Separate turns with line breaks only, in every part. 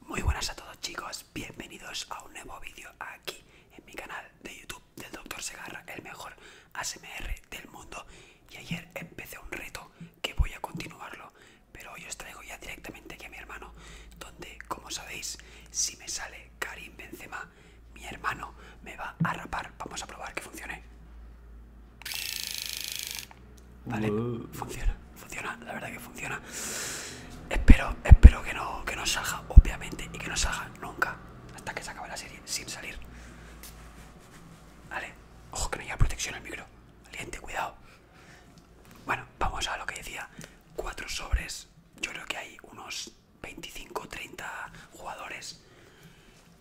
Muy buenas a todos chicos, bienvenidos a un nuevo vídeo aquí en mi canal de YouTube del Dr. Segarra, el mejor ASMR del mundo. Y ayer empecé un reto que voy a continuarlo, pero hoy os traigo ya directamente aquí a mi hermano, donde como sabéis, si me sale Karim Benzema, mi hermano me va a rapar. Vamos a probar que funcione. Vale, uh. funciona, funciona, la verdad que funciona. Espero, espero que no, que no salga, obviamente, y que no salga nunca. Hasta que se acabe la serie, sin salir. Vale, ojo que no haya protección al micro. Valiente, cuidado. Bueno, vamos a lo que decía. Cuatro sobres. Yo creo que hay unos 25 30 jugadores.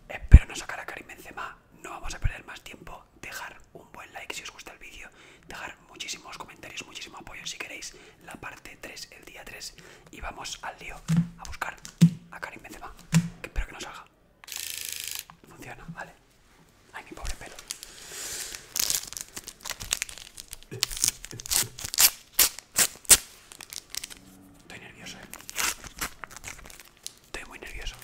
Espero no sacar a Karim Benzema no vamos a perder más tiempo. Dejar un buen like si os gusta el vídeo, dejar muchísimos comentarios, muchísimo apoyo si queréis la parte 3, el día 3. Y vamos al lío a buscar a Karim Benzema, que espero que nos salga. Funciona, vale. Ay, mi pobre pelo. Estoy nervioso, eh. Estoy muy nervioso.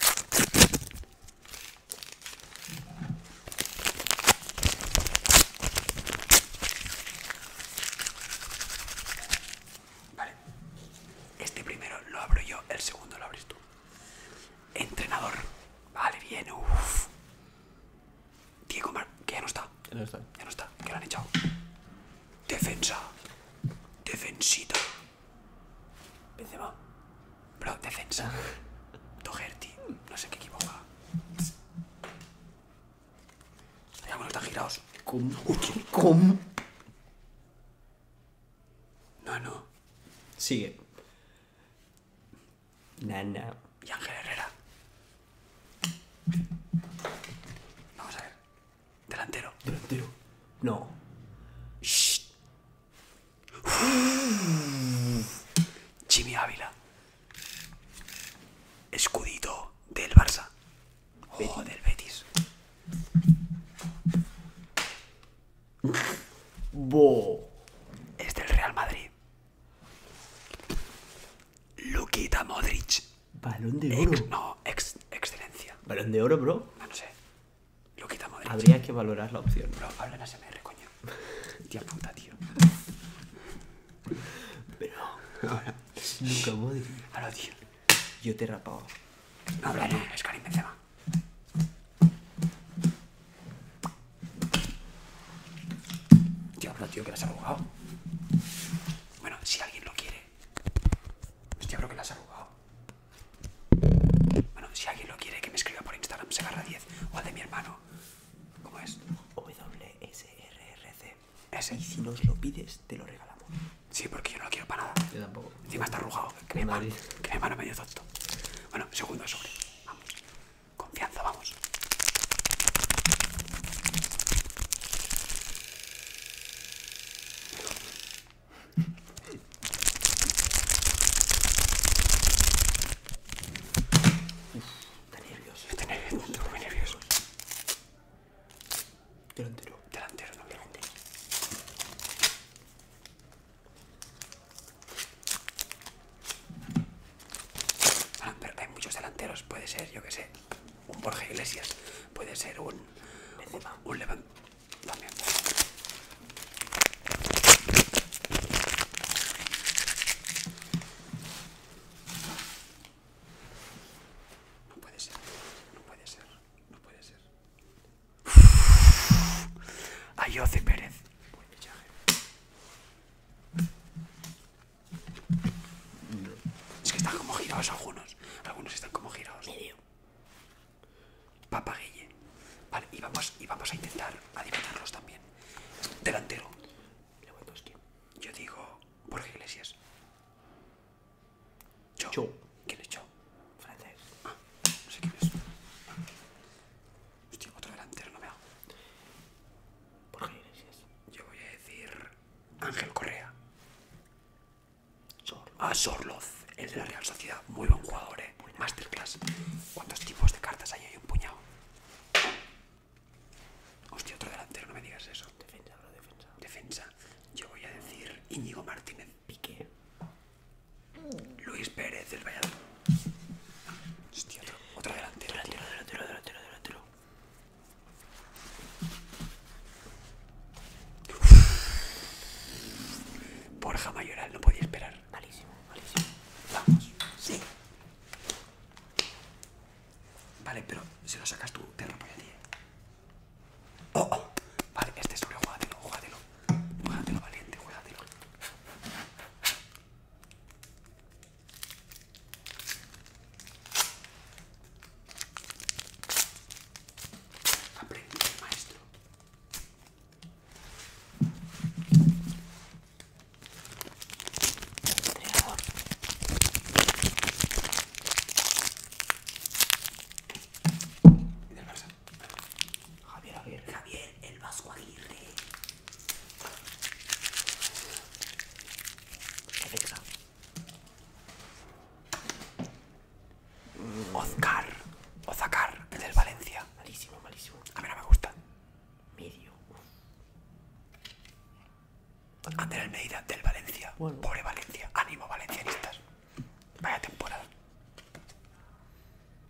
Vale. Este primero lo abro yo, el segundo lo abres tú. Entrenador. Vale, bien. Uff. Diego Mar... que ya no está. Ya no está. Ya no está. Que lo han echado. Defensa. defensito. Benzema. Bro, defensa. Doherty. No sé qué equivoca. Ya Ya lo están girados. ¿Cómo? No, no. Sigue. Nana. Y Ángel Herrera. Vamos a ver. Delantero. Delantero. No. Shh. Jimmy Ávila. Escudito del Barça. O del Betis. Bo. Es del Real Madrid. Luquita Modric. Balón de oro. no, excelencia. Balón de oro, bro. No, no sé. Lo quitamos. Habría que valorar la opción. Bro, habla en SMR, coño. Tía puta, tío. Pero. Ahora. Nunca voy. Habla, tío. Yo te he rapado. No, bro, no, es Benzema. Tío, habla, tío, que la has abogado. Bueno, si alguien lo quiere, Hostia, creo que la has arrugado Bueno, si alguien lo quiere, que me escriba por Instagram, se agarra 10. O al de mi hermano. ¿Cómo es? C Ese. Y si nos lo pides, te lo regalamos. Sí, porque yo no quiero para nada. Yo tampoco. Encima está arrugado. Que me hermano, que mi hermano medio tonto. Bueno, segundo sobre. Vamos. Confianza, vamos. Está nervioso. Está nervioso, estoy muy nervioso. Delantero. Delantero, no, delantero. Ah, pero hay muchos delanteros, puede ser, yo qué sé un Borja Iglesias, puede ser un, un, levantamiento. No puede ser, no puede ser, no puede ser. Ayoce Pérez. Buen es que están como girados algunos. Algunos están como girados. Medio. Vale, y vamos, a intentar adivinarlos también. Delantero. Yo digo qué Iglesias. Cho. Cho. ¿Quién es Cho? Francés. Ah, no sé quién es. Hostia, otro delantero, no me hago. Borja Iglesias. Yo voy a decir. Ángel Correa. Sorloz. Ah, Sorloz, el de la Real Sociedad. Muy buen jugador, eh. Masterclass. ¿Cuántos tipos de cartas hay? ahí? un puñado. Hostia, otro delantero, no me digas eso. Defensa, defensa. Defensa. Yo voy a decir Íñigo Martínez. Piqué. Luis Pérez del Valladolid. Hostia, otro, otra delantera. Delantero, delantero, delantero, delantero. Porja Mayoral, no podía esperar. Malísimo, malísimo. Vamos. Sí. Vale, pero si lo sacas tú, te rompo allí. ti. Eh. Oh, oh, Vale, este es sobre, juégatelo, juégatelo. Juégatelo, valiente, juégatelo. Aprendí del maestro. Entregador. Y del Barça. Javier, Javier. Javier el Vasco Aguirre. Oscar Ozcar. oscar. el del Valencia. Malísimo, malísimo. A ver, no me gusta. Medio. Andrés Medida, del Valencia. Pobre Valencia. Ánimo, valencianistas. Vaya temporada.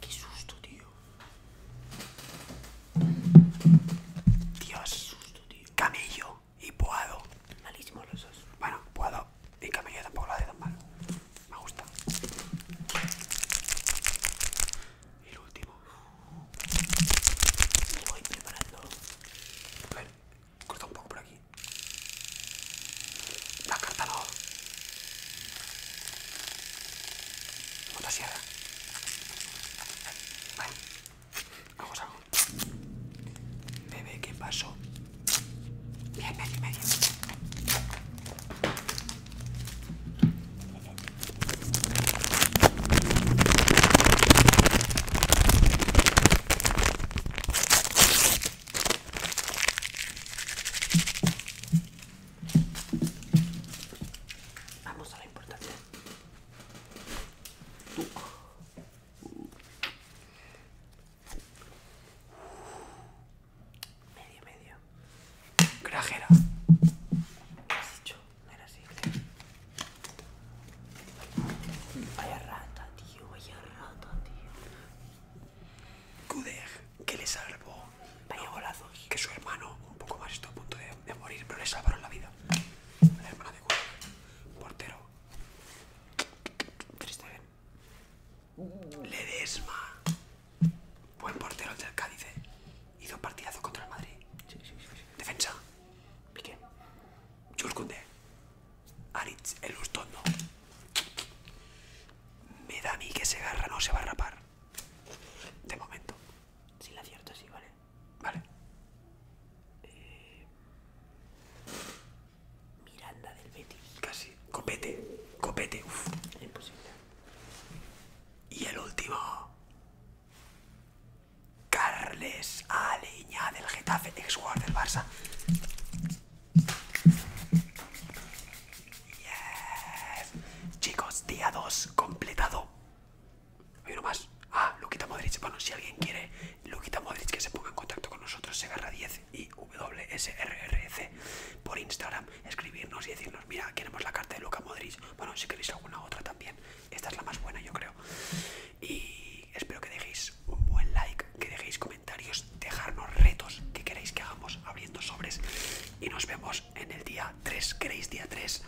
Qué susto, tío. Dios. susto, tío. Camello y Poado. Malísimos los dos. Bueno, Poado y Camello tampoco lo hace tan mal. Me gusta. Y el último. Me voy preparando. A ver, corta un poco por aquí. La no. Motosierra. Vale. Vamos a Bebé, ¿qué pasó? Vamos a la importante. Medio, medio. Crajera. ¿Qué has hecho? No era así. Vaya rata, tío. Vaya rata, tío. Kudek, que le salvó. Vaya golazo Que su hermano, un poco más, está a punto de, morir, pero le salvaron la vida. portero. Triste, ¿eh? Ledesma. Buen portero del Cádiz. ¿eh? Hizo partidazo contra el Madrid. Defensa. Piqué. Jules Aritz, el ustono, Me da a mí que se agarra, no se va a rapar. De momento. Si la acierto, sí, vale. Vale. Eh, Miranda del Betis. Casi. Copete. Copete. Uf. Imposible. Y el último. Carles Aleñá del Getafe, ex del Barça. Chicos, día 2 completado. Hay uno más. Ah, Luquita Modric. Bueno, si alguien quiere Luquita Modric que se ponga en contacto con nosotros, se agarra 10 y c por Instagram, escribirnos y decirnos, mira, queremos la carta de Luca Modric. Bueno, si queréis alguna otra también. Esta es la más buena, yo creo y espero que dejéis un buen like, que dejéis comentarios, dejarnos retos que queréis que hagamos abriendo sobres y nos vemos en el día 3, queréis día 3.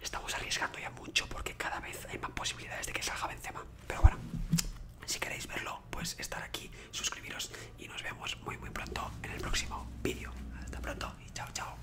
Estamos arriesgando ya mucho porque cada vez hay más posibilidades de que salga Benzema, pero bueno, si queréis verlo, pues estar aquí, suscribiros y nos vemos muy muy pronto en el próximo vídeo. Hasta pronto y chao chao.